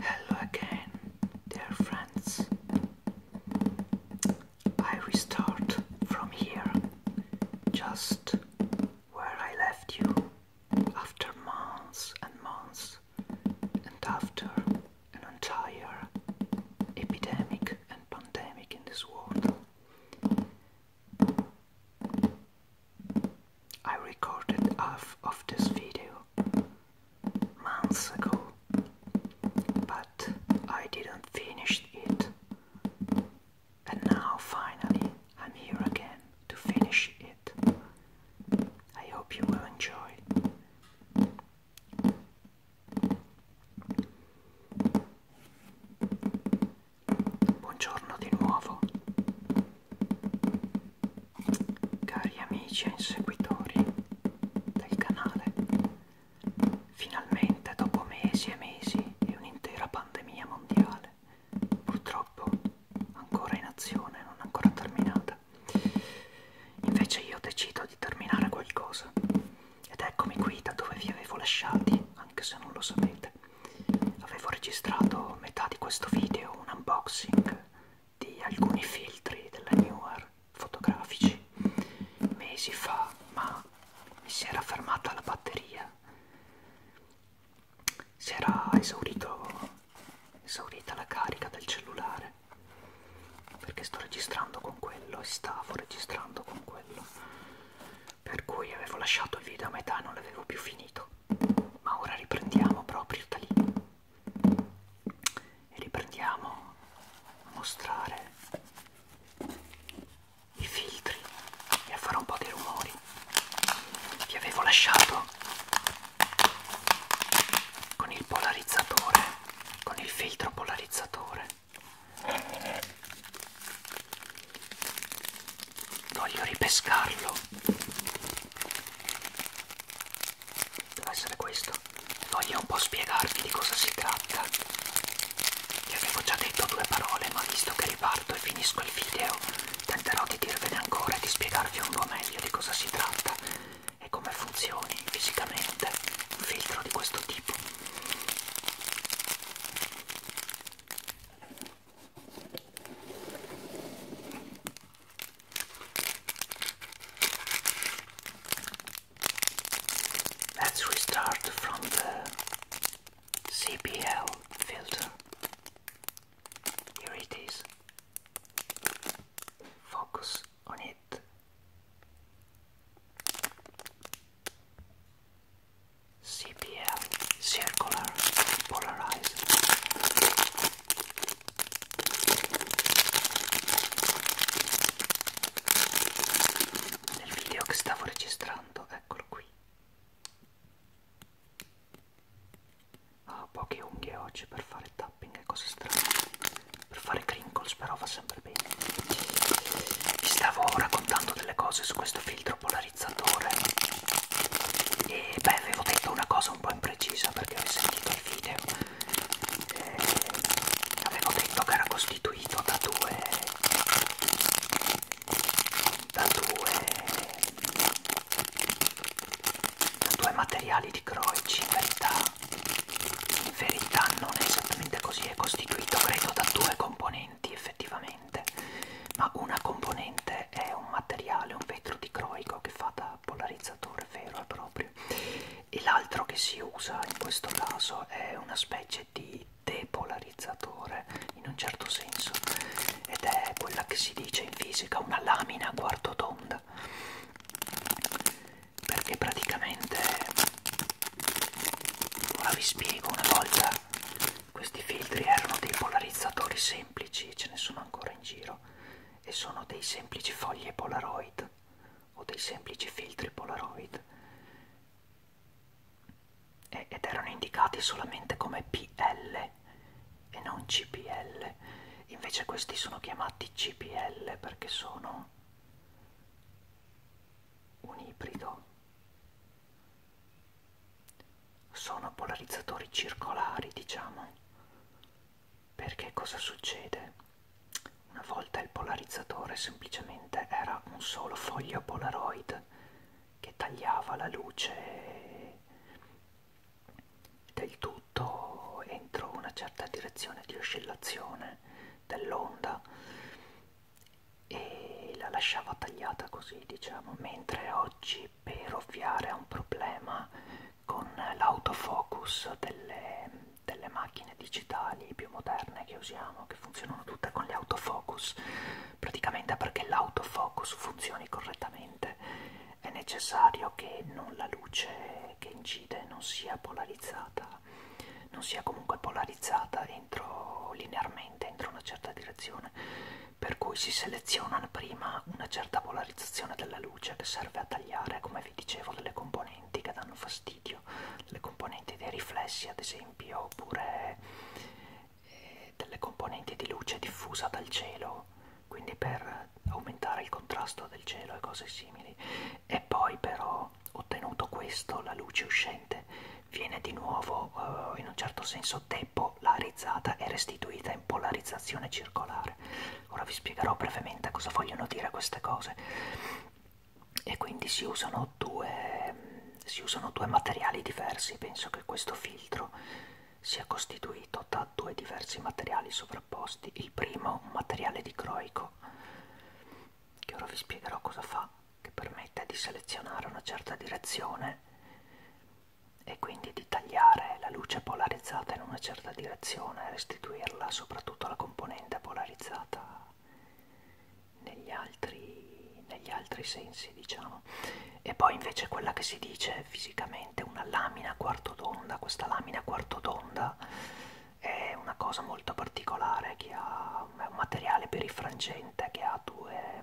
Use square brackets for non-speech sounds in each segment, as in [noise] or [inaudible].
Hello again, dear friends. I restart from here, just where I left you after months and months, and after an entire epidemic and pandemic in this world. I recorded half of this video months ago, but I didn't finish it, and now finally I'm here again to finish it. I hope you will enjoy. Buongiorno di nuovo. Cari amici e inseguitori del canale, finalmente dopo mesi e mesi e un'intera pandemia mondiale, purtroppo ancora in azione, non ancora terminata, invece io decido di terminare qualcosa ed eccomi qui da dove vi avevo lasciati, anche se non lo sapete avevo registrato metà di questo video un unboxing di alcuni filtri della Newer fotografici mesi fa ma mi si era fermata la batteria si era esaurito, esaurita la carica del cellulare perché sto registrando con quello e stavo registrando con quello per cui avevo lasciato il video a metà e non l'avevo più finito ma ora riprendiamo proprio da lì e riprendiamo a mostrare i filtri e a fare un po' di rumori vi avevo lasciato con il polarizzatore con il filtro polarizzatore Voglio ripescarlo. Deve essere questo. Voglio un po' spiegarvi di cosa si tratta. Vi avevo già detto due parole, ma visto che riparto e finisco il video, tenterò di dirvene ancora e di spiegarvi un po' meglio di cosa si tratta e come funzioni fisicamente un filtro di questo tipo. Let's restart from the CPL filter. Here it is. Focus on it. CPF circular polarized. Nel video che stavo registrando, eccolo qui. Ho poche unghie oggi per fare tapping e cose strane. Per fare crinkles però va sempre bene. Vi stavo raccontando delle cose su questo filtro polarizzatore e beh avevo detto una cosa un po' imprecisa perché ho sentito il video e eh, avevo detto che era costituito da due da due da due materiali di Croici in verità in verità non è esattamente così è costituito credo da due componenti presenti effettivamente, ma una componente è un materiale, un vetro dicroico che fa da polarizzatore vero e proprio, e l'altro che si usa in questo caso è una specie di depolarizzatore in un certo senso ed è quella che si dice in fisica una lamina a quarto d'onda perché praticamente ora vi spiego una volta questi filtri erano dei polarizzatori semplici ce ne sono ancora in giro e sono dei semplici foglie polaroid o dei semplici filtri polaroid e, ed erano indicati solamente come PL e non CPL invece questi sono chiamati CPL perché sono un ibrido sono polarizzatori circolari, diciamo, perché cosa succede? Una volta il polarizzatore semplicemente era un solo foglio polaroid che tagliava la luce del tutto entro una certa direzione di oscillazione dell'onda e la lasciava tagliata così diciamo mentre oggi che per ovviare a un problema con l'autofocus delle, delle macchine digitali più moderne che usiamo, che funzionano tutte con gli autofocus, praticamente perché l'autofocus funzioni correttamente è necessario che non la luce che incide non sia polarizzata, non sia comunque polarizzata entro, linearmente entro una certa direzione per cui si seleziona prima una certa polarizzazione della luce che serve a tagliare, come vi dicevo, delle componenti che danno fastidio, le componenti dei riflessi ad esempio, oppure eh, delle componenti di luce diffusa dal cielo, quindi per aumentare il contrasto del cielo e cose simili. E poi però, ottenuto questo, la luce uscente viene di nuovo eh, in un certo senso depolarizzata e restituita in polarizzazione circolare. Ora vi spiegherò brevemente cosa vogliono dire queste cose. E quindi si usano due, si usano due materiali diversi, penso che questo filtro sia costituito da due diversi materiali sovrapposti. Il primo, un materiale dicroico, che ora vi spiegherò cosa fa, che permette di selezionare una certa direzione e quindi di tagliare la luce polarizzata in una certa direzione e restituirla soprattutto alla componente polarizzata negli altri, negli altri sensi diciamo e poi invece quella che si dice fisicamente una lamina quarto d'onda questa lamina quarto d'onda è una cosa molto particolare che ha, è un materiale perifrangente che ha due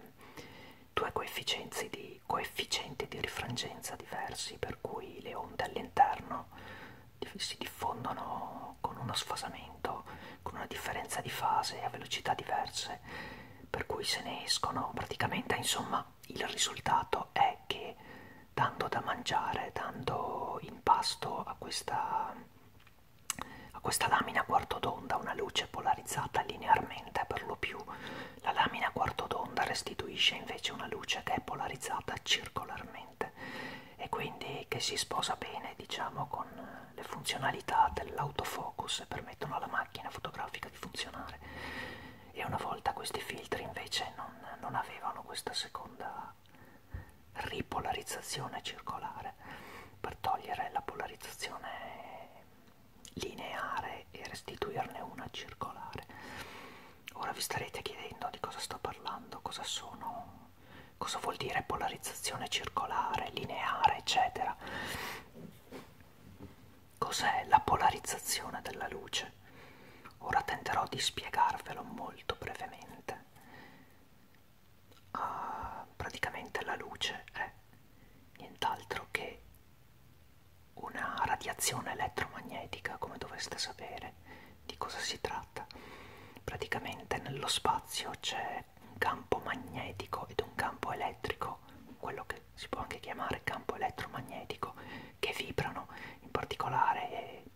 due coefficienti di, coefficienti di rifrangenza diversi, per cui le onde all'interno si diffondono con uno sfasamento, con una differenza di fase a velocità diverse, per cui se ne escono praticamente, insomma, il risultato è che dando da mangiare, dando in pasto a questa, a questa lamina a quarto d'onda una luce polarizzata linearmente per lo più la lamina a quarto d'onda restituisce invece una luce che è polarizzata circolarmente e quindi che si sposa bene diciamo con le funzionalità dell'autofocus e permettono alla macchina fotografica di funzionare e una volta questi filtri invece non, non avevano questa seconda ripolarizzazione circolare per togliere la polarizzazione lineare e restituirne una circolare. Ora vi starete chiedendo di cosa sto parlando, cosa sono, cosa vuol dire polarizzazione circolare, lineare, eccetera. Cos'è la polarizzazione della luce? Ora tenterò di spiegarvelo molto brevemente. Uh, praticamente la luce è nient'altro che una radiazione elettromagnetica, come dovreste sapere di cosa si tratta. Praticamente nello spazio c'è un campo magnetico ed un campo elettrico, quello che si può anche chiamare campo elettromagnetico, che vibrano, in particolare eh,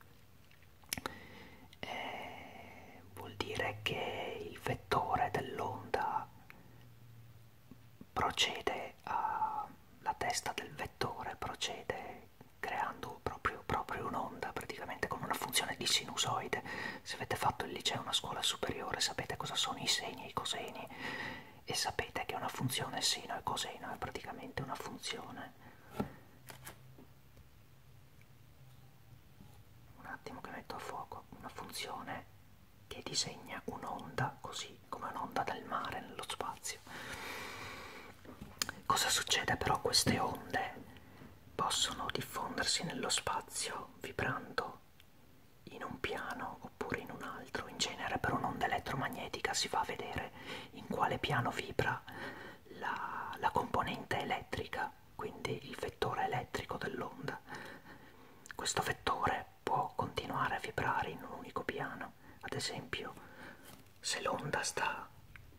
eh vuol dire che il vettore dell'onda procede a, la testa del vettore procede creando proprio, proprio un'onda, praticamente con una funzione di sinusoide. Se avete fatto il liceo, una scuola superiore, sapete cosa sono i segni e i coseni e sapete che una funzione seno e coseno è praticamente una funzione. Un attimo che metto a fuoco una funzione che disegna un'onda così come un'onda del mare nello spazio. Cosa succede però? Queste onde possono diffondersi nello spazio vibrando in un piano oppure in un altro. In genere per un'onda elettromagnetica si va a vedere in quale piano vibra la, la componente elettrica, quindi il vettore elettrico dell'onda. Questo vettore cioè può continuare a vibrare in un unico piano. Ad esempio, se l'onda sta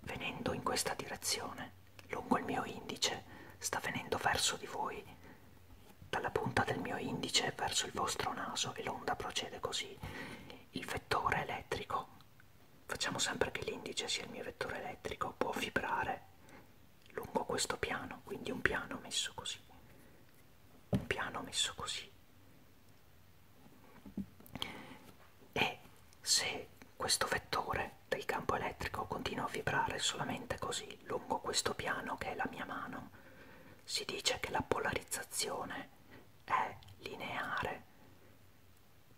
venendo in questa direzione, lungo il mio indice, sta venendo verso di voi, dalla punta del mio indice verso il vostro naso e l'onda procede così. Il vettore elettrico, facciamo sempre che l'indice sia il mio vettore elettrico, può vibrare lungo questo piano, quindi un piano messo così un piano messo così e se questo vettore del campo elettrico continua a vibrare solamente così lungo questo piano che è la mia mano si dice che la polarizzazione è lineare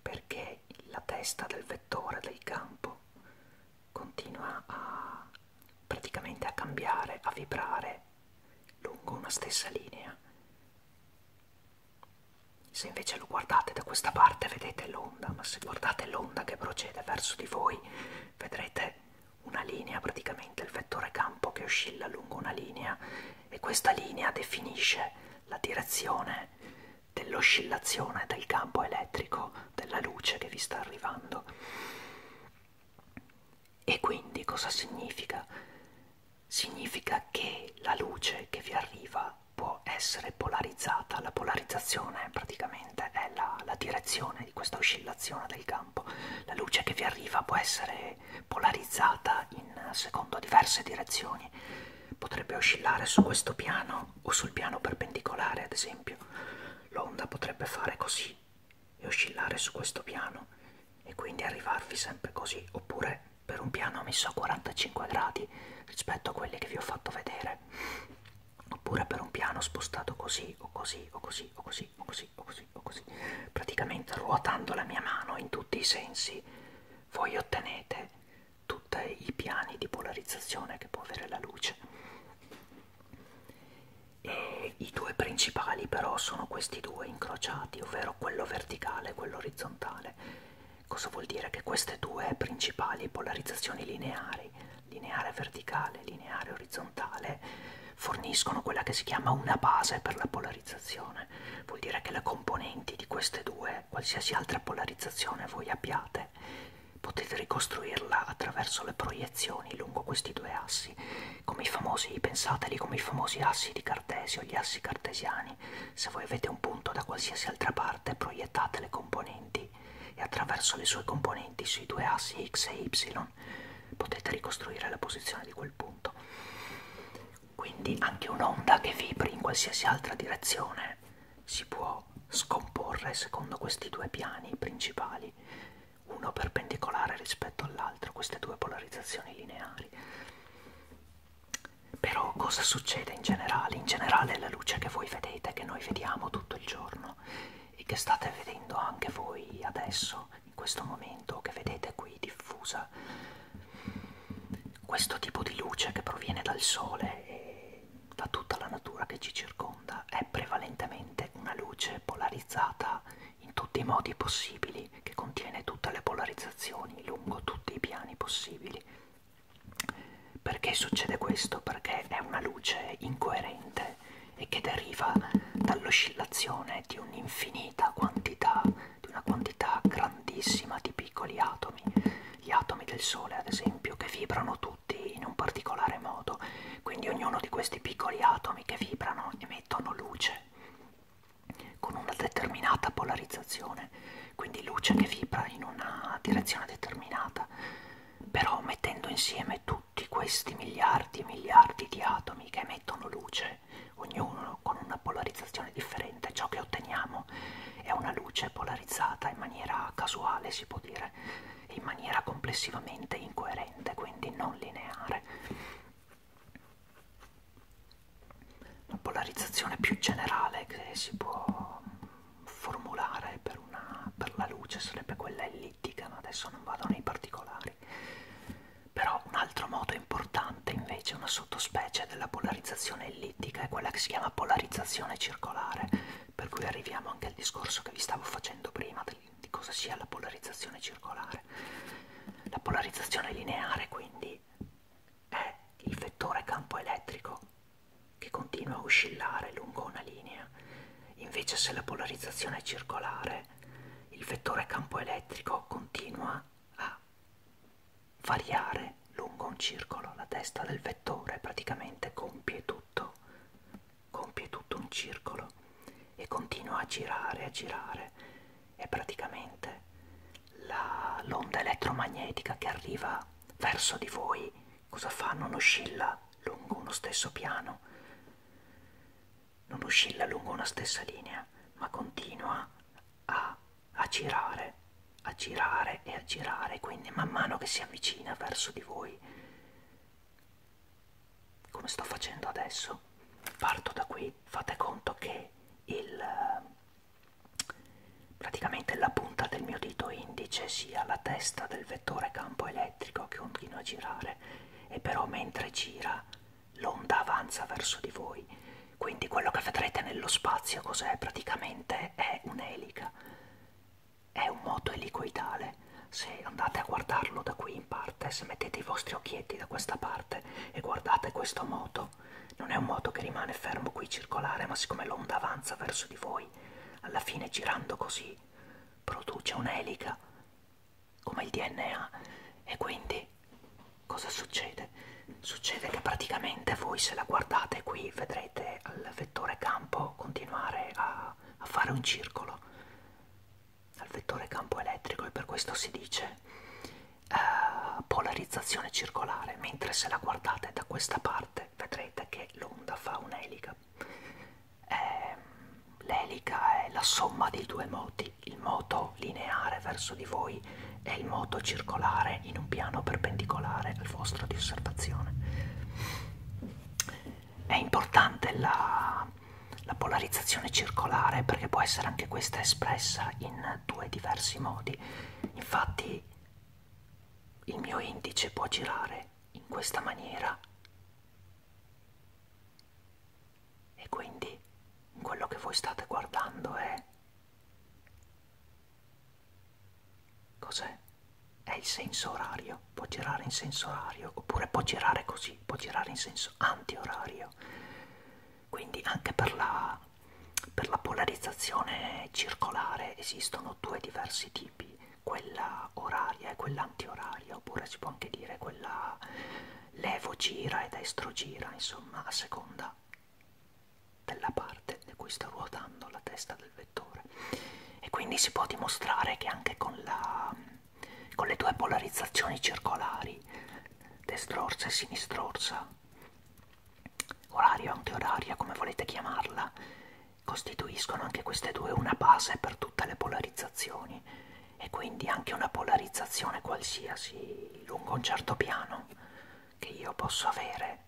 perché la testa del vettore del campo continua a praticamente a cambiare, a vibrare lungo una stessa linea. Se invece lo guardate da questa parte vedete l'onda, ma se guardate l'onda che procede verso di voi vedrete una linea, praticamente il vettore campo che oscilla lungo una linea e questa linea definisce la direzione dell'oscillazione del campo elettrico della luce che vi sta arrivando. E quindi cosa significa? Significa che la luce che vi arriva può essere polarizzata, la polarizzazione praticamente è la, la direzione di questa oscillazione del campo, la luce che vi arriva può essere polarizzata in, secondo diverse direzioni, potrebbe oscillare su questo piano o sul piano perpendicolare ad esempio, l'onda potrebbe fare così e oscillare su questo piano e quindi arrivarvi sempre così oppure per un piano messo a 45 gradi rispetto a quelli che vi ho fatto vedere oppure per un piano spostato così o così o così o così o così o così o così praticamente ruotando la mia mano in tutti i sensi voi ottenete tutti i piani di polarizzazione che può avere la luce e i due principali però sono questi due incrociati ovvero quello verticale e quello orizzontale cosa vuol dire che queste due principali polarizzazioni lineari lineare verticale lineare orizzontale forniscono quella che si chiama una base per la polarizzazione vuol dire che le componenti di queste due qualsiasi altra polarizzazione voi abbiate potete ricostruirla attraverso le proiezioni lungo questi due assi come i famosi, pensateli come i famosi assi di Cartesio, gli assi cartesiani. Se voi avete un punto da qualsiasi altra parte, proiettate le componenti e attraverso le sue componenti sui due assi x e y potete ricostruire la posizione di quel punto. Quindi anche un'onda che vibri in qualsiasi altra direzione si può scomporre secondo questi due piani principali uno perpendicolare rispetto all'altro, queste due polarizzazioni lineari. Però cosa succede in generale? In generale la luce che voi vedete, che noi vediamo tutto il giorno e che state vedendo anche voi adesso, in questo momento, che vedete qui diffusa, questo tipo di luce che proviene dal sole e da tutta la natura che ci circonda è prevalentemente una luce polarizzata in tutti i modi possibili, che contiene tutte le polarizzazioni lungo tutti i piani possibili. Perché succede questo? Perché è una luce incoerente e che deriva dall'oscillazione di un'infinita quantità, di una quantità grandissima di piccoli atomi, gli atomi del Sole ad esempio, che vibrano tutti in un particolare modo quindi ognuno di questi piccoli atomi che vibrano emettono luce con una determinata polarizzazione, quindi luce che vibra in una direzione determinata. Però mettendo insieme tutti questi miliardi e miliardi di atomi che emettono luce, ognuno con una polarizzazione differente, ciò che otteniamo è una luce polarizzata in maniera casuale, si può dire, in maniera complessivamente incoerente, quindi non lineare la polarizzazione più generale che si può formulare per, una, per la luce sarebbe quella ellittica, ma adesso non vado nei particolari. Però un altro modo importante invece, una sottospecie della polarizzazione ellittica è quella che si chiama polarizzazione circolare, per cui arriviamo anche al discorso che vi stavo facendo prima del di, di cosa sia la polarizzazione circolare. La polarizzazione lineare quindi è il vettore campo elettrico che continua a oscillare lungo una linea, invece se la polarizzazione è circolare il vettore campo elettrico continua a variare lungo un circolo, la testa del vettore praticamente compie tutto compie tutto un circolo e continua a girare, a girare e praticamente l'onda elettromagnetica che arriva verso di voi cosa fa? Non oscilla lungo uno stesso piano, non oscilla lungo una stessa linea, ma continua a, a girare, a girare e a girare, quindi man mano che si avvicina verso di voi come sto facendo adesso parto da qui fate conto che il eh, praticamente la punta del mio dito indice sia la testa del vettore campo elettrico che continua a girare e però mentre gira l'onda avanza verso di voi quindi quello che vedrete nello spazio cos'è praticamente è un'elica è un moto elicoidale se andate a guardarlo da qui in parte, se mettete i vostri occhietti da questa parte e guardate questo moto, non è un moto che rimane fermo qui circolare, ma siccome l'onda avanza verso di voi, alla fine girando così produce un'elica come il DNA e quindi cosa succede? Succede che praticamente voi se la guardate qui vedrete al vettore campo continuare a, a fare un circolo al vettore campo elettrico e per questo si dice eh, polarizzazione circolare, mentre se la guardate da questa parte vedrete che l'onda fa un'elica. Eh, L'elica è la somma di due moti, il moto lineare verso di voi e il moto circolare in un piano perpendicolare al vostro di osservazione. È importante la la polarizzazione circolare perché può essere anche questa espressa in due diversi modi. Infatti il mio indice può girare in questa maniera e quindi quello che voi state guardando è... Cos'è? È il senso orario, può girare in senso orario oppure può girare così così, può girare in senso antiorario. Quindi anche per la, per la polarizzazione circolare esistono due diversi tipi, quella oraria e quella antioraria, oppure si può anche dire quella levo gira e destro gira, insomma, a seconda della parte di cui sta ruotando la testa del vettore. E quindi si può dimostrare che anche con la con le due polarizzazioni circolari, destrorsa e sinistrorsa, orario e antioraria, come volete chiamarla, costituiscono anche queste due una base per tutte le polarizzazioni e quindi anche una polarizzazione qualsiasi lungo un certo piano che io posso avere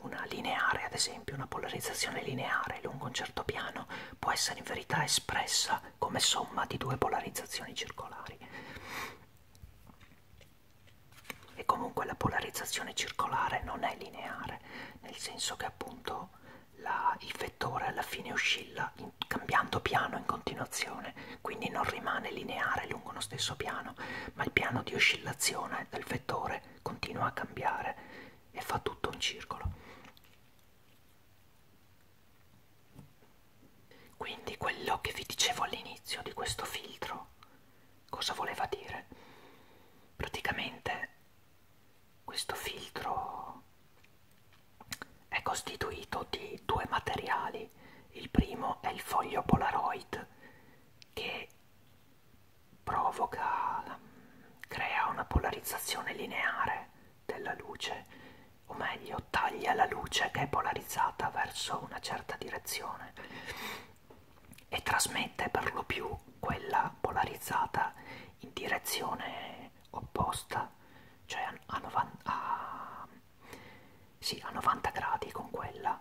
una lineare ad esempio una polarizzazione lineare lungo un certo piano può essere in verità espressa come somma di due polarizzazioni circolari. E comunque la polarizzazione circolare non è lineare, nel senso che appunto la, il vettore alla fine oscilla in, cambiando piano in continuazione, quindi non rimane lineare lungo lo stesso piano, ma il piano di oscillazione del vettore continua a cambiare e fa tutto un circolo. Quindi quello che vi dicevo all'inizio di questo filtro, cosa voleva dire? Praticamente questo filtro è costituito di due materiali. Il primo è il foglio Polaroid che provoca, crea una polarizzazione lineare della luce, o meglio taglia la luce che è polarizzata verso una certa direzione e trasmette per lo più quella polarizzata in direzione opposta, cioè a, novan a, sì, a 90 gradi con quella.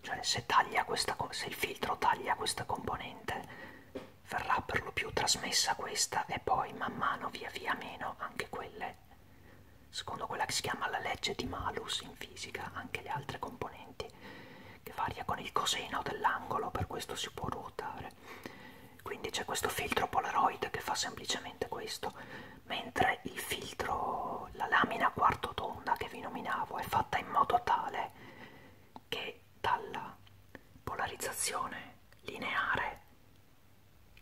Cioè se, taglia questa, se il filtro taglia questa componente verrà per lo più trasmessa questa e poi man mano via via meno anche quelle secondo quella che si chiama la legge di malus in fisica anche le altre componenti che varia con il coseno dell'angolo per questo si può ruotare quindi c'è questo filtro polaroid che fa semplicemente questo mentre il filtro la lamina quarto tonda che vi nominavo è fatta in modo tale che dalla polarizzazione lineare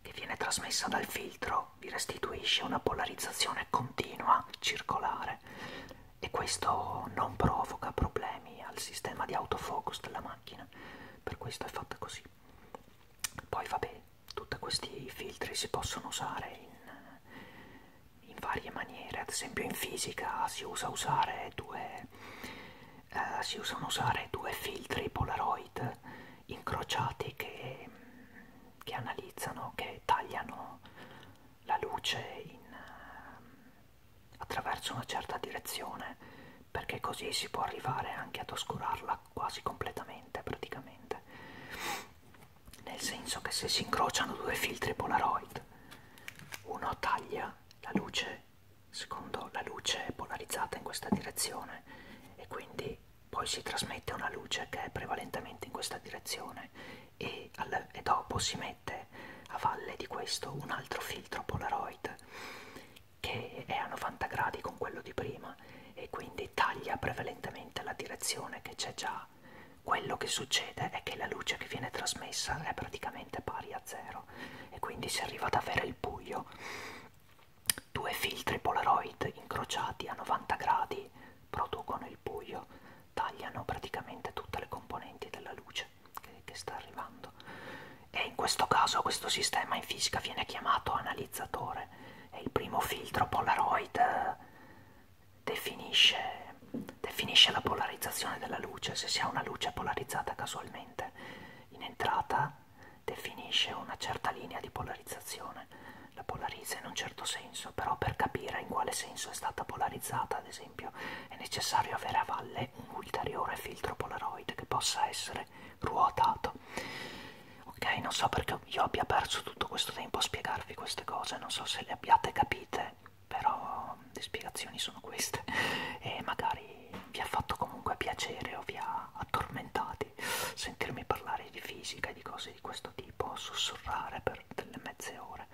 che viene trasmessa dal filtro vi restituisce una polarizzazione continua, circolare e questo non provoca problemi al sistema di autofocus della macchina, per questo è fatta così. Poi vabbè, tutti questi filtri si possono usare in, in varie maniere, ad esempio in fisica si usa usare due eh, si usano usare due filtri Polaroid incrociati che, che analizzano, che tagliano la luce in, eh, attraverso una certa direzione perché così si può arrivare anche ad oscurarla quasi completamente praticamente nel senso che se si incrociano due filtri Polaroid uno taglia la luce secondo la luce è polarizzata in questa direzione e quindi poi si trasmette una luce che è prevalentemente in questa direzione e, al, e dopo si mette a valle di questo un altro filtro Polaroid che è a 90 gradi con quello di prima e quindi taglia prevalentemente la direzione che c'è già. Quello che succede è che la luce che viene trasmessa è praticamente pari a zero e quindi si arriva ad avere il buio Due filtri Polaroid incrociati a 90 gradi producono il buio, tagliano praticamente tutte le componenti della luce che, che sta arrivando. E in questo caso questo sistema in fisica viene chiamato analizzatore e il primo filtro Polaroid eh, definisce, definisce la polarizzazione della luce, se si ha una luce polarizzata casualmente in entrata definisce una certa linea di polarizzazione, la polarizza in un certo senso, però per capire in quale senso è stata polarizzata, ad esempio, è necessario avere a valle un ulteriore filtro Polaroid che possa essere ruotato. Ok, non so perché io abbia perso tutto questo tempo a spiegarvi queste cose, non so se le abbiate capite, però le spiegazioni sono queste [laughs] e magari vi ha fatto comunque piacere o vi ha attormentati, sentirmi parlare di fisica e di cose di questo tipo, sussurrare per delle mezze ore.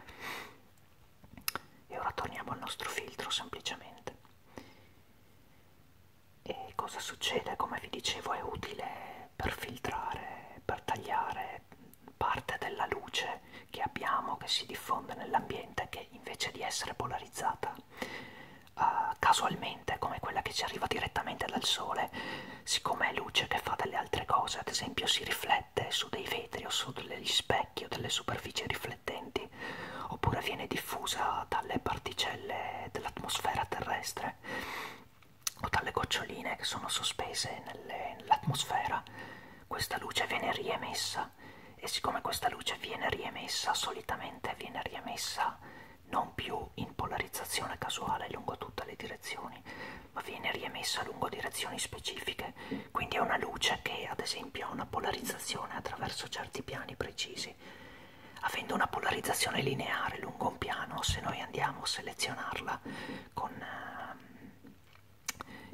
E ora torniamo al nostro filtro semplicemente. E cosa succede? Come vi dicevo è utile per filtrare, per tagliare parte della luce che abbiamo, che si diffonde nell'ambiente, che invece di essere polarizzata uh, casualmente, come quella che ci arriva direttamente dal sole, siccome è luce che fa delle altre cose, ad esempio si riflette su dei vetri o su degli specchi o delle superfici riflettenti, oppure viene diffusa dalle particelle dell'atmosfera terrestre o dalle goccioline che sono sospese nell'atmosfera, nell questa luce viene riemessa e siccome questa luce viene riemessa, solitamente viene riemessa non più in polarizzazione casuale lungo tutte le direzioni, ma viene riemessa lungo direzioni specifiche, quindi è una luce che ad esempio ha una polarizzazione attraverso certi piani precisi. Avendo una polarizzazione lineare lungo un piano, se noi andiamo a selezionarla con, ehm,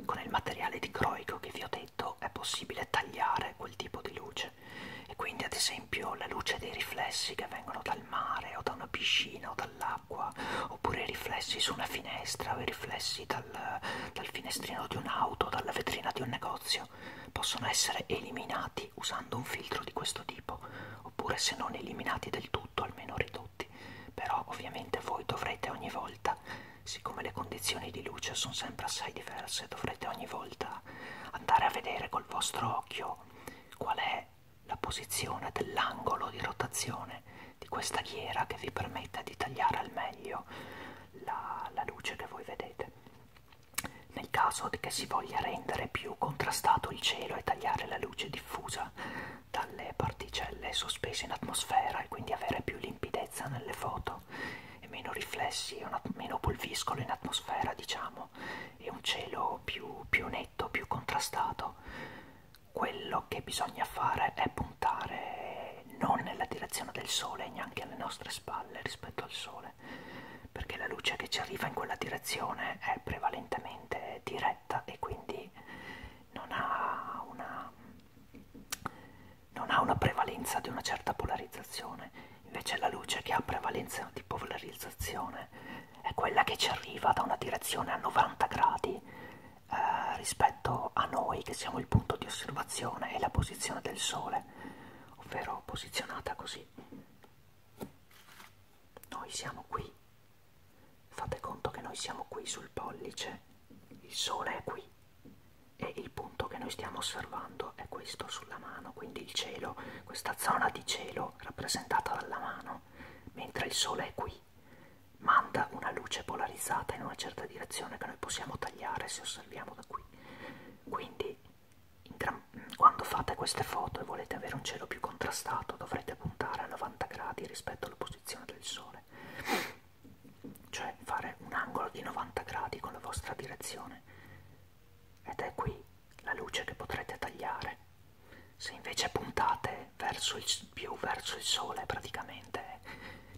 con il materiale di croico che vi ho detto, è possibile tagliare quel tipo di luce luce e quindi ad esempio la luce dei riflessi che vengono dal mare o da una piscina o dall'acqua oppure i riflessi su una finestra o i riflessi dal, dal finestrino di un'auto, dalla vetrina di un negozio possono essere eliminati usando un filtro di questo tipo oppure se non eliminati del tutto almeno ridotti però ovviamente voi dovrete ogni volta siccome le condizioni di luce sono sempre assai diverse dovrete ogni volta a andare a vedere col vostro occhio qual è la posizione dell'angolo di rotazione di questa ghiera che vi permetta di tagliare al meglio la, la luce che voi vedete. Nel caso che si voglia rendere più contrastato il cielo e tagliare la luce diffusa dalle particelle sospese in atmosfera e quindi avere più limpidezza nelle foto, e meno riflessi, meno polviscolo in atmosfera, diciamo, e un cielo più, più netto, più contrastato. Quello che bisogna fare è puntare non nella direzione del sole e neanche alle nostre spalle rispetto al sole, perché la luce che ci arriva in quella direzione è prevalentemente diretta e quindi non ha una, non ha una prevalenza di una certa polarizzazione Invece la luce che ha prevalenza di polarizzazione è quella che ci arriva da una direzione a 90 gradi eh, rispetto a noi che siamo il punto di osservazione e la posizione del Sole, ovvero posizionata così. Noi siamo qui, fate conto che noi siamo qui sul pollice, il Sole è qui e il punto che noi stiamo osservando è questo sulla mano, quindi il cielo questa zona di cielo rappresentata dalla mano, mentre il sole è qui, manda una luce polarizzata in una certa direzione che noi possiamo tagliare se osserviamo da qui. Quindi gran... quando fate queste foto e volete avere un cielo più contrastato dovrete puntare a 90 gradi rispetto alla posizione del sole, cioè fare un angolo di 90 gradi con la vostra direzione ed è qui la luce che potrete tagliare. Se invece puntate verso il, più verso il sole praticamente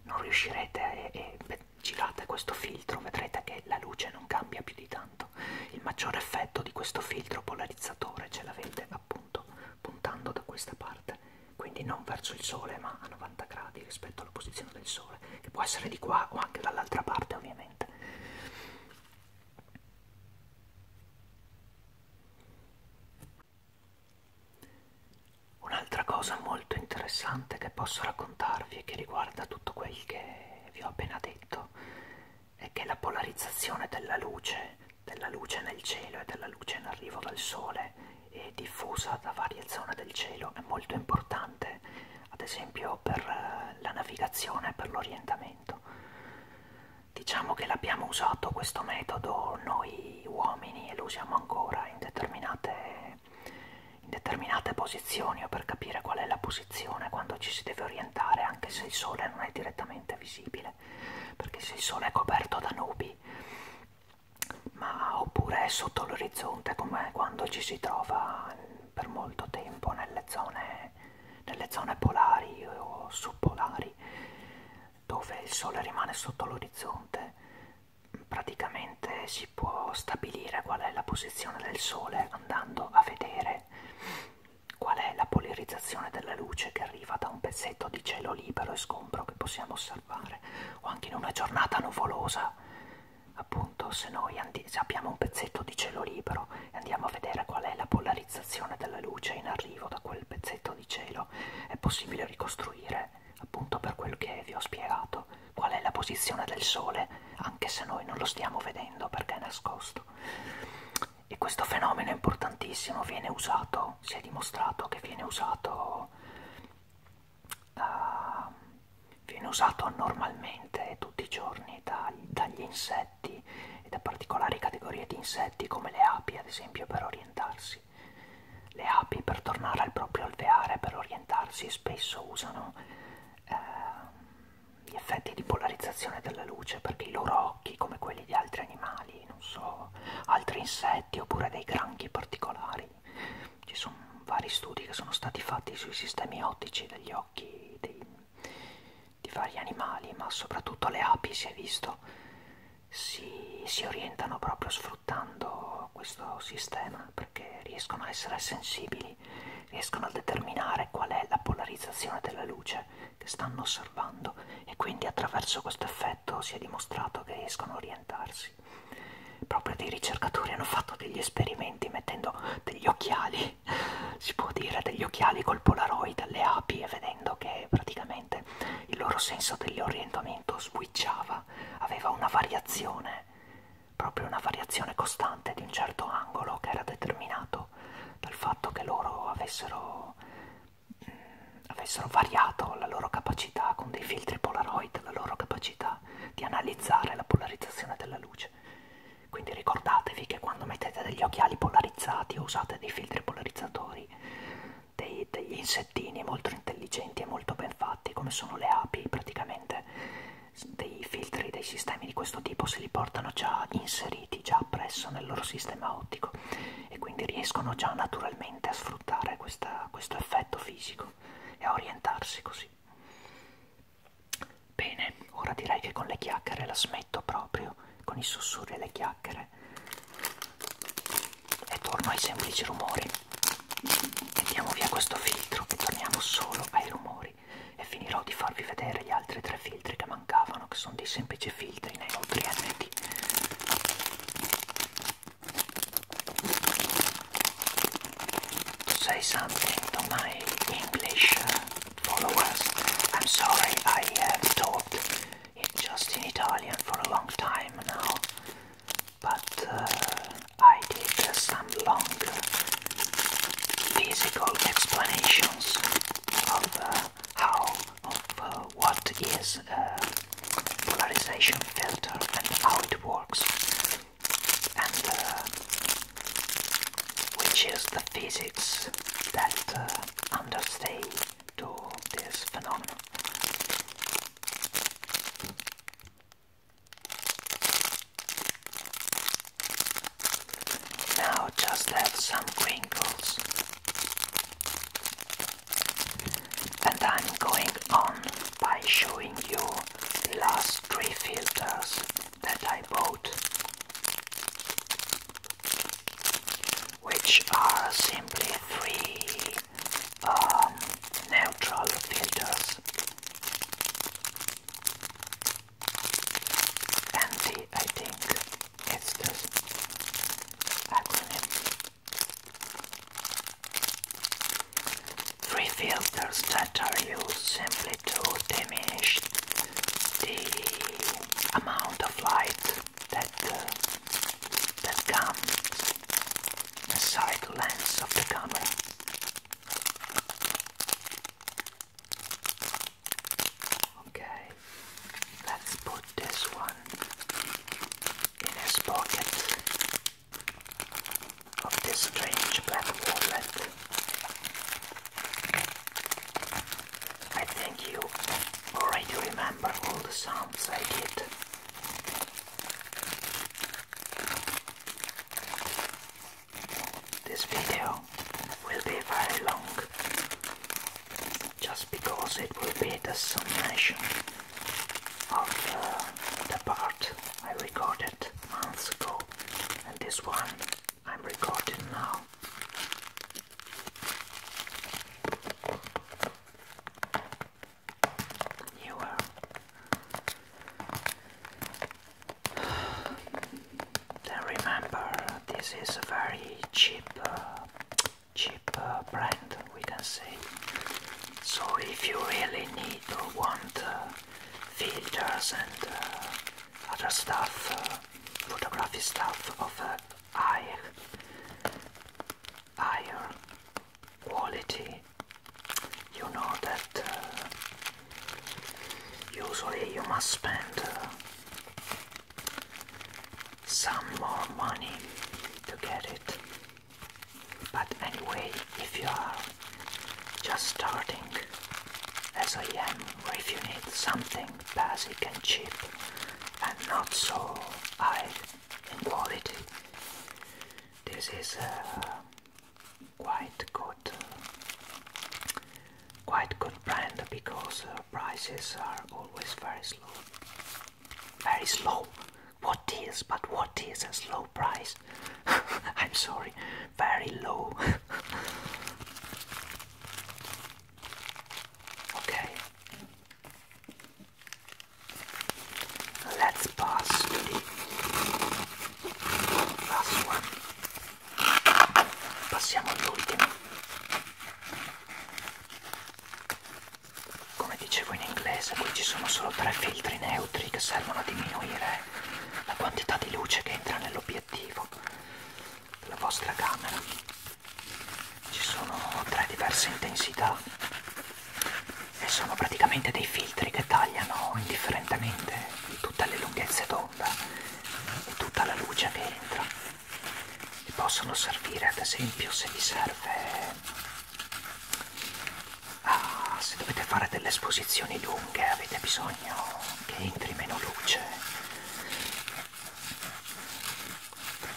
non riuscirete e, e girate questo filtro vedrete che la luce non cambia più di tanto. Il maggiore effetto di questo filtro polarizzatore ce l'avete appunto puntando da questa parte, quindi non verso il sole ma a 90 gradi rispetto alla posizione del sole, che può essere di qua o anche dall'altra parte ovviamente ovviamente Un'altra cosa molto interessante che posso raccontarvi e che riguarda tutto quel che vi ho appena detto è che la polarizzazione della luce, della luce nel cielo e della luce in arrivo dal sole e diffusa da varie zone del cielo è molto importante ad esempio per eh, la navigazione e per l'orientamento. Diciamo che l'abbiamo usato questo metodo noi uomini e lo usiamo ancora in determinate, in determinate posizioni o per capire qual è la posizione quando ci si deve orientare anche se il sole non è direttamente visibile, perché se il sole è coperto da nubi ma oppure è sotto l'orizzonte come quando ci si trova per molto tempo nelle zone zone, nelle zone polari o subpolari dove il sole rimane sotto l'orizzonte praticamente si può stabilire qual è la posizione del sole andando a vedere qual è la polarizzazione della luce che arriva da un pezzetto di cielo libero e scombro che possiamo osservare o anche in una giornata nuvolosa appunto se noi se abbiamo un pezzetto di cielo libero e andiamo a vedere qual è la polarizzazione della luce in arrivo da quel pezzetto di cielo, è possibile ricostruire appunto per quel che vi ho spiegato qual è la posizione del Sole anche se noi non lo stiamo vedendo perché è nascosto. E questo fenomeno è importantissimo, viene usato, si è dimostrato che viene usato uh, viene usato normalmente tutti i giorni da, dagli insetti e da particolari categorie di insetti come le api ad esempio per orientarsi. Le api per tornare al proprio alveare, per orientarsi, spesso usano eh, gli effetti di polarizzazione della luce perché i loro occhi, come quelli di altri animali, non so, altri insetti oppure dei granchi particolari, ci sono vari studi che sono stati fatti sui sistemi ottici degli occhi dei, di vari animali, ma soprattutto le api si è visto, si, si orientano proprio sfruttando questo sistema perché riescono a essere sensibili, riescono a determinare qual è la polarizzazione della luce che stanno osservando e quindi attraverso questo effetto si è dimostrato che riescono a orientarsi. Proprio dei ricercatori hanno fatto degli esperimenti mettendo degli occhiali occhiali, si può dire, degli occhiali col polaroid alle api e vedendo che praticamente il loro senso dell'orientamento switchava, aveva una variazione, proprio una variazione costante di un certo angolo che era determinato dal fatto che loro avessero, mh, mm, avessero variato la loro capacità con dei filtri polaroid, la loro capacità di analizzare la polarizzazione della luce. Quindi ricordatevi che quando mettete degli occhiali polarizzati o usate dei filtri polarizzatori, dei, degli insettini molto intelligenti e molto ben fatti, come sono le api, praticamente dei filtri, dei sistemi di questo tipo se li portano già inseriti, già appresso nel loro sistema ottico e quindi riescono già naturalmente a sfruttare questa, questo effetto fisico e a orientarsi così. Bene, ora direi che con le chiacchiere la smetto proprio, con i sussurri e le chiacchiere, e torno ai semplici rumori. Mettiamo via questo filtro e torniamo solo ai rumori e finirò di farvi vedere gli altri tre filtri che mancavano, che sono dei semplici filtri neutri ND. Tu sei something to my English. followers. I'm sorry I have uh, talked just in Italian for a long time now, but uh, I take uh, some long physical explanations of how, of what is polarization filter and how it works. And which is the physics that uh, this phenomenon. Now just some crinkles. And I'm going on by showing you the last three filters that I bought, which are simply three um, neutral filters. Anti, I think it's this acronym. Three filters that are used simply to diminish the amount of light that uh, that comes inside the lens of the camera. Okay, let's put this one in his pocket of this strange black wallet. I think you already remember all the sounds I did. This video will be very long, just because it will be the summation of uh, the part I recorded months ago and this one I'm recording now. You are. [sighs] Then remember, this is a very cheap, uh, cheap uh, brand. We can say. So if you really need or want uh, and uh, other stuff, uh, photography stuff of uh, high, quality. You know that uh, usually you must spend uh, some more money to get it. But anyway, if you are just starting, I am, if you need something basic and cheap and not so high in quality. This is uh, quite good, quite good brand because uh, prices are always very slow. Very slow. What is? But what is a slow price? [laughs] I'm sorry, very low. [laughs] Okay. Let's pass to the last one. Passiamo all'ultimo. Come dicevo in inglese, qui ci sono solo tre filtri neutri che servono a diminuire la quantità di luce che entra nell'obiettivo la vostra camera ci sono tre diverse intensità e sono praticamente dei filtri che tagliano indifferentemente tutte le lunghezze d'onda e tutta la luce che entra e possono servire ad esempio se vi serve a, ah, se dovete fare delle esposizioni lunghe avete bisogno che entri meno luce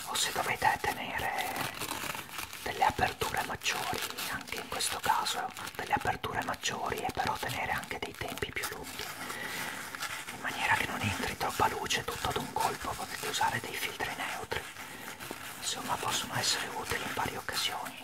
o se dovete tenere delle aperture maggiori anche in questo caso delle aperture maggiori e però tenere anche dei tempi più lunghi in maniera che non entri troppa luce tutto ad un colpo potete usare dei filtri neutri insomma possono essere utili in varie occasioni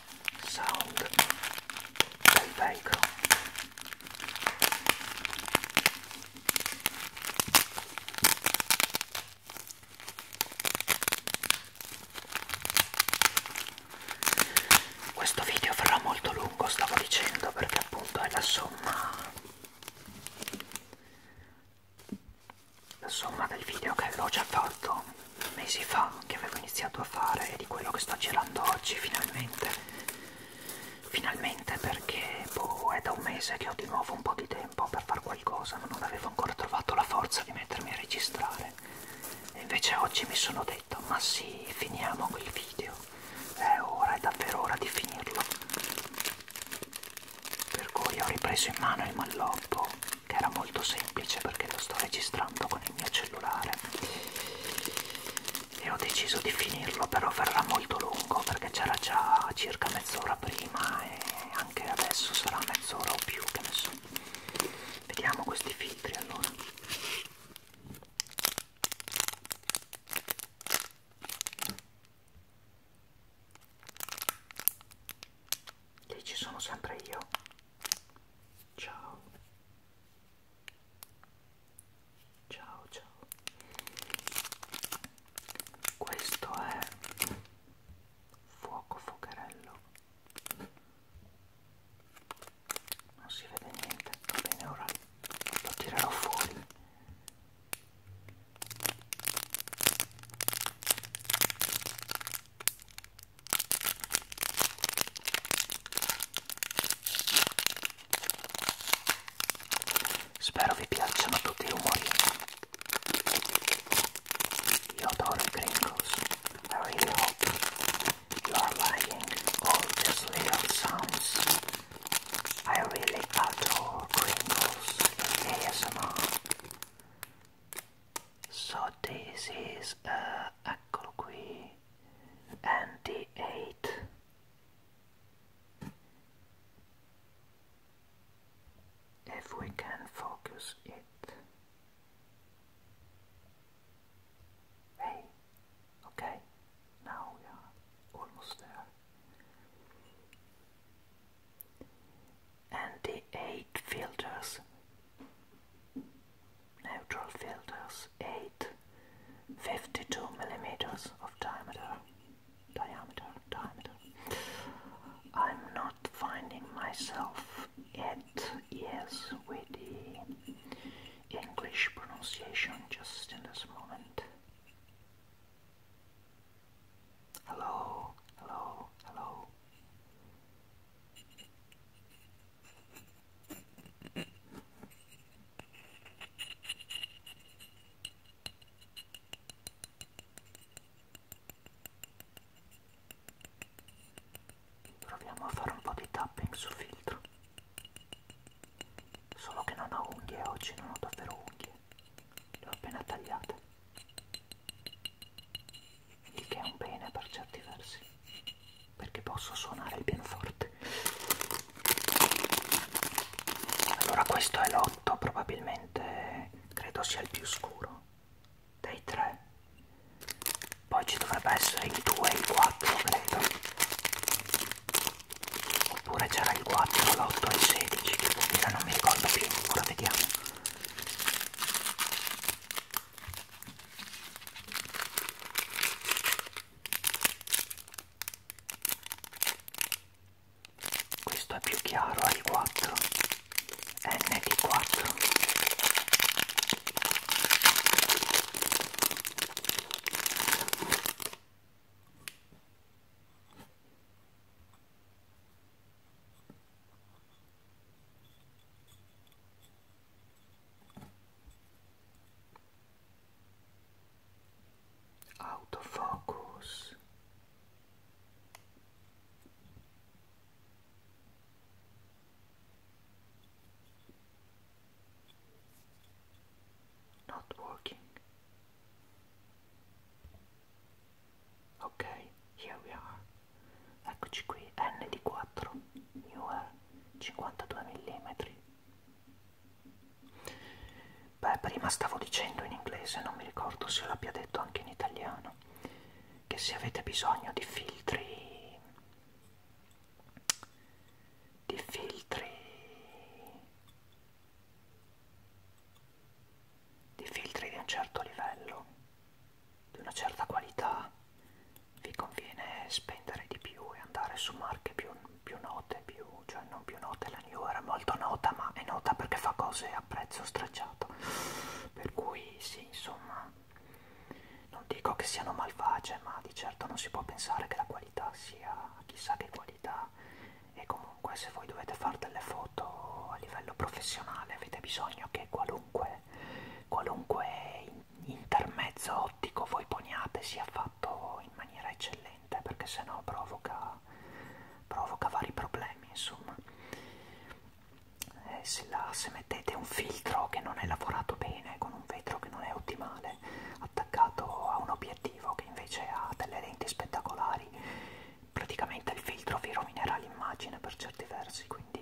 sound del velcro questo video farà molto lungo stavo dicendo perché appunto è la somma la somma del video che avevo già fatto mesi fa che avevo iniziato a fare e di quello che sto girando oggi finalmente finalmente perché boh, è da un mese che ho di nuovo un po' di tempo per fare qualcosa ma non avevo ancora trovato la forza di mettermi a registrare e invece oggi mi sono detto ma sì finiamo quel video è ora, è davvero ora di finirlo per cui ho ripreso in mano il malloppo che era molto semplice perché lo sto registrando con il mio cellulare e ho deciso di finirlo però verrà molto lungo perché c'era già circa mezz'ora prima e anche adesso sarà mezz'ora o più che ne so vediamo questi filtri allora lì ci sono sempre io ciao Ciao ciao. Questo è fuoco focherello. Non si vede niente. Va bene, ora lo tirerò fuori. i really hope you are liking all these little sounds. I really adore Gringos ASMR. So this is, uh, eccolo qui and 8 if we can focus it. Hey, okay, now we are almost there. And the eight filters neutral filters 8 52 millimeters of diameter diameter diameter I'm not finding myself at yes with the English pronunciation just in this moment hello hello hello Proviamo a fare un po' di tapping su filtro. Solo che non ho unghie oggi, non ho davvero unghie. Le ho appena tagliate. Il che è un bene per certi versi perché posso suonare il pianoforte. Allora questo è l'otto, probabilmente credo sia il più scuro dei tre. Poi ci dovrebbe essere il 2 e il 4, credo. Oppure c'era il 4, l'8 e il 16, che vuol dire non mi ricordo più, ora vediamo questo è più chiaro al 4 n di 4 autofocus not working ok here we are eccoci qui n di 4 newer 52 mm Beh, prima stavo dicendo in inglese, non mi ricordo se l'abbia detto anche in italiano, che se avete bisogno di filtri, di filtri, di filtri di un certo livello, di una certa qualità, vi conviene spendere di più e andare su marche più, più note, più, cioè non più note, la New era molto nota ma è nota perché fa cose a prezzo stracciato, per cui sì insomma non dico che siano malvagie ma di certo non si può pensare che la qualità sia chissà che qualità e comunque se voi dovete fare delle foto a livello professionale avete bisogno che qualunque, qualunque intermezzo ottico voi poniate sia fatto in maniera eccellente perché sennò provoca, provoca vari problemi insomma eh, se, la, se mettete un filtro che non è lavorato bene con un vetro che non è ottimale attaccato a un obiettivo che invece ha delle lenti spettacolari praticamente il filtro vi rovinerà l'immagine per certi versi quindi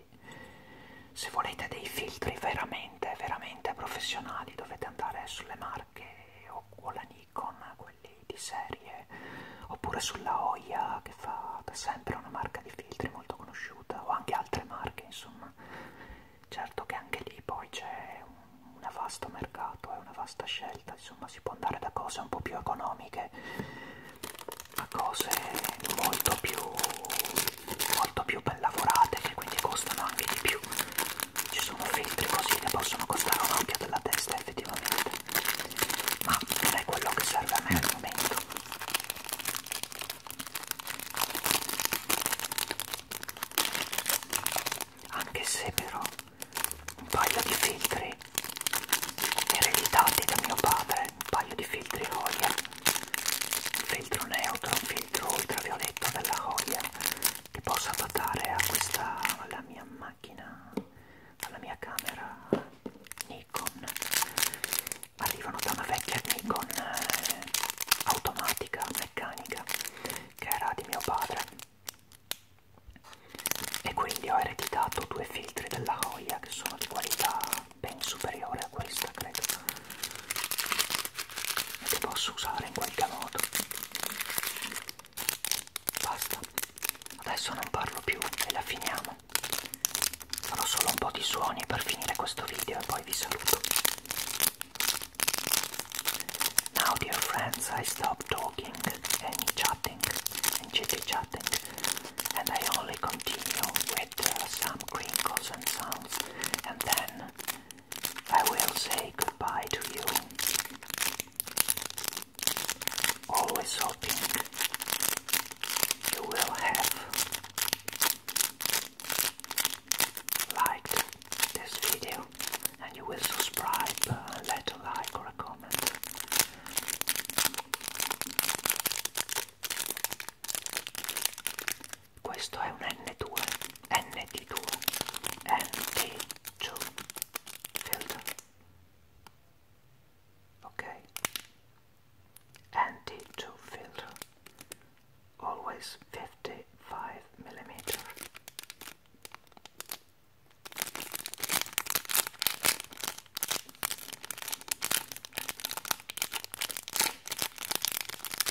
se volete dei filtri veramente veramente veramente professionali dovete andare sulle marche o, o la Nikon, quelli di serie, oppure sulla Oya che fa da sempre una marca di filtri molto conosciuta, o anche altre marche insomma. Certo che anche lì poi c'è un, un vasto mercato, è una vasta scelta, insomma si può andare da cose un po' più economiche a cose molto più, molto più ben lavorate che quindi costano anche di più ci sono filtri così che possono costare un occhio della testa effettivamente ma non è quello che serve a me al momento anche se però un paio di filtri ereditati da mio padre un paio di filtri Hoyer un filtro neutro, un filtro ultravioletto della Hoyer che posso adattare a questa alla mia macchina alla mia camera Nikon arrivano da una vecchia Nikon eh, automatica meccanica che era di mio padre e quindi ho ereditato due filtri della Hoya che sono di qualità ben superiore a questa credo e che posso usare in qualche modo basta adesso non parlo più e la finiamo farò solo un po' di suoni per finire questo video e poi vi saluto now dear friends I stop talking and chatting and chitty chatting and I only continue with uh, some crinkles and sounds and then I will say goodbye to you. Always hoping you will have liked this video and you will subscribe uh, a little like or a comment questo è un N2, ND2, ND2 filter, ok? ND2 filter, always 55 millimeter.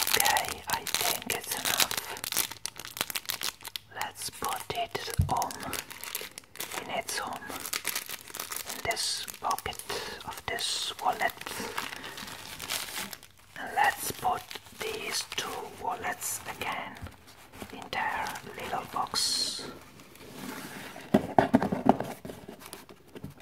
Okay, I think it's enough. Let's put it on in its home in this pocket of this wallet. And let's put these two wallets again in their little box.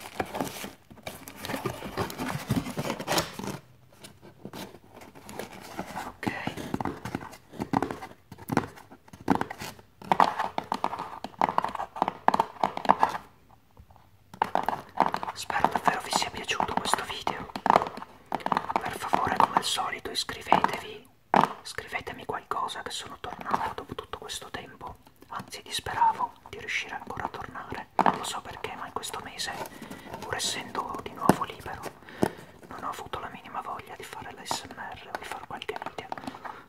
Ok. Spero davvero vi sia piaciuto questo video. Per favore, come al solito, iscrivetevi, scrivetemi qualcosa che sono tornato dopo tutto questo tempo anzi disperavo di riuscire ancora a tornare. Non lo so perché, ma in questo mese, pur essendo di nuovo libero, non ho avuto la minima voglia di fare l'ASMR o di fare qualche video.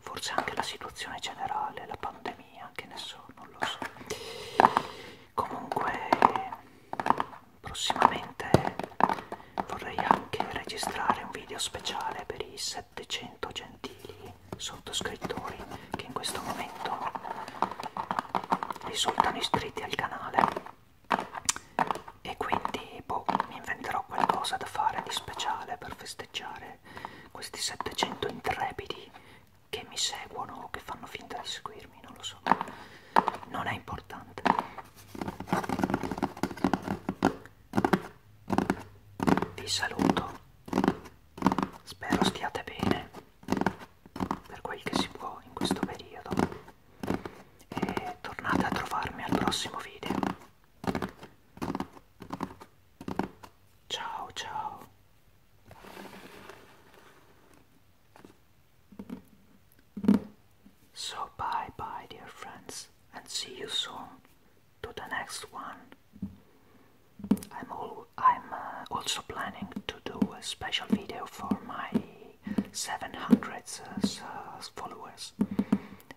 Forse anche la situazione generale, la pandemia, che ne so, non lo so. Comunque, prossimamente vorrei anche registrare un video speciale per i 700 gentili sottoscrittori che in questo momento risultano iscritti al canale e quindi boh, mi inventerò qualcosa da fare di speciale per festeggiare questi 700 intrepidi che mi seguono o che fanno finta di seguirmi, non lo so, non è importante. Vi saluto Spero stiate bene per quel che si può in questo periodo e tornate a trovarmi al prossimo video. Ciao ciao. So bye bye dear friends and see you soon. to the next one. I'm uh, also planning to do a special video for my 700 uh, uh, followers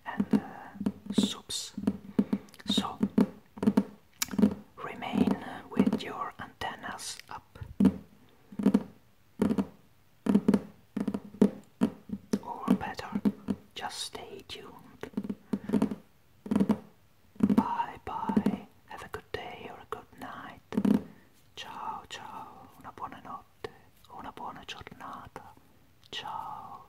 and uh, subs. So remain with your antennas up. Or better, just stay tuned. Bye bye. Have a good day or a good night. Ciao ciao. Una buona notte. Una buona giornata. Ciao.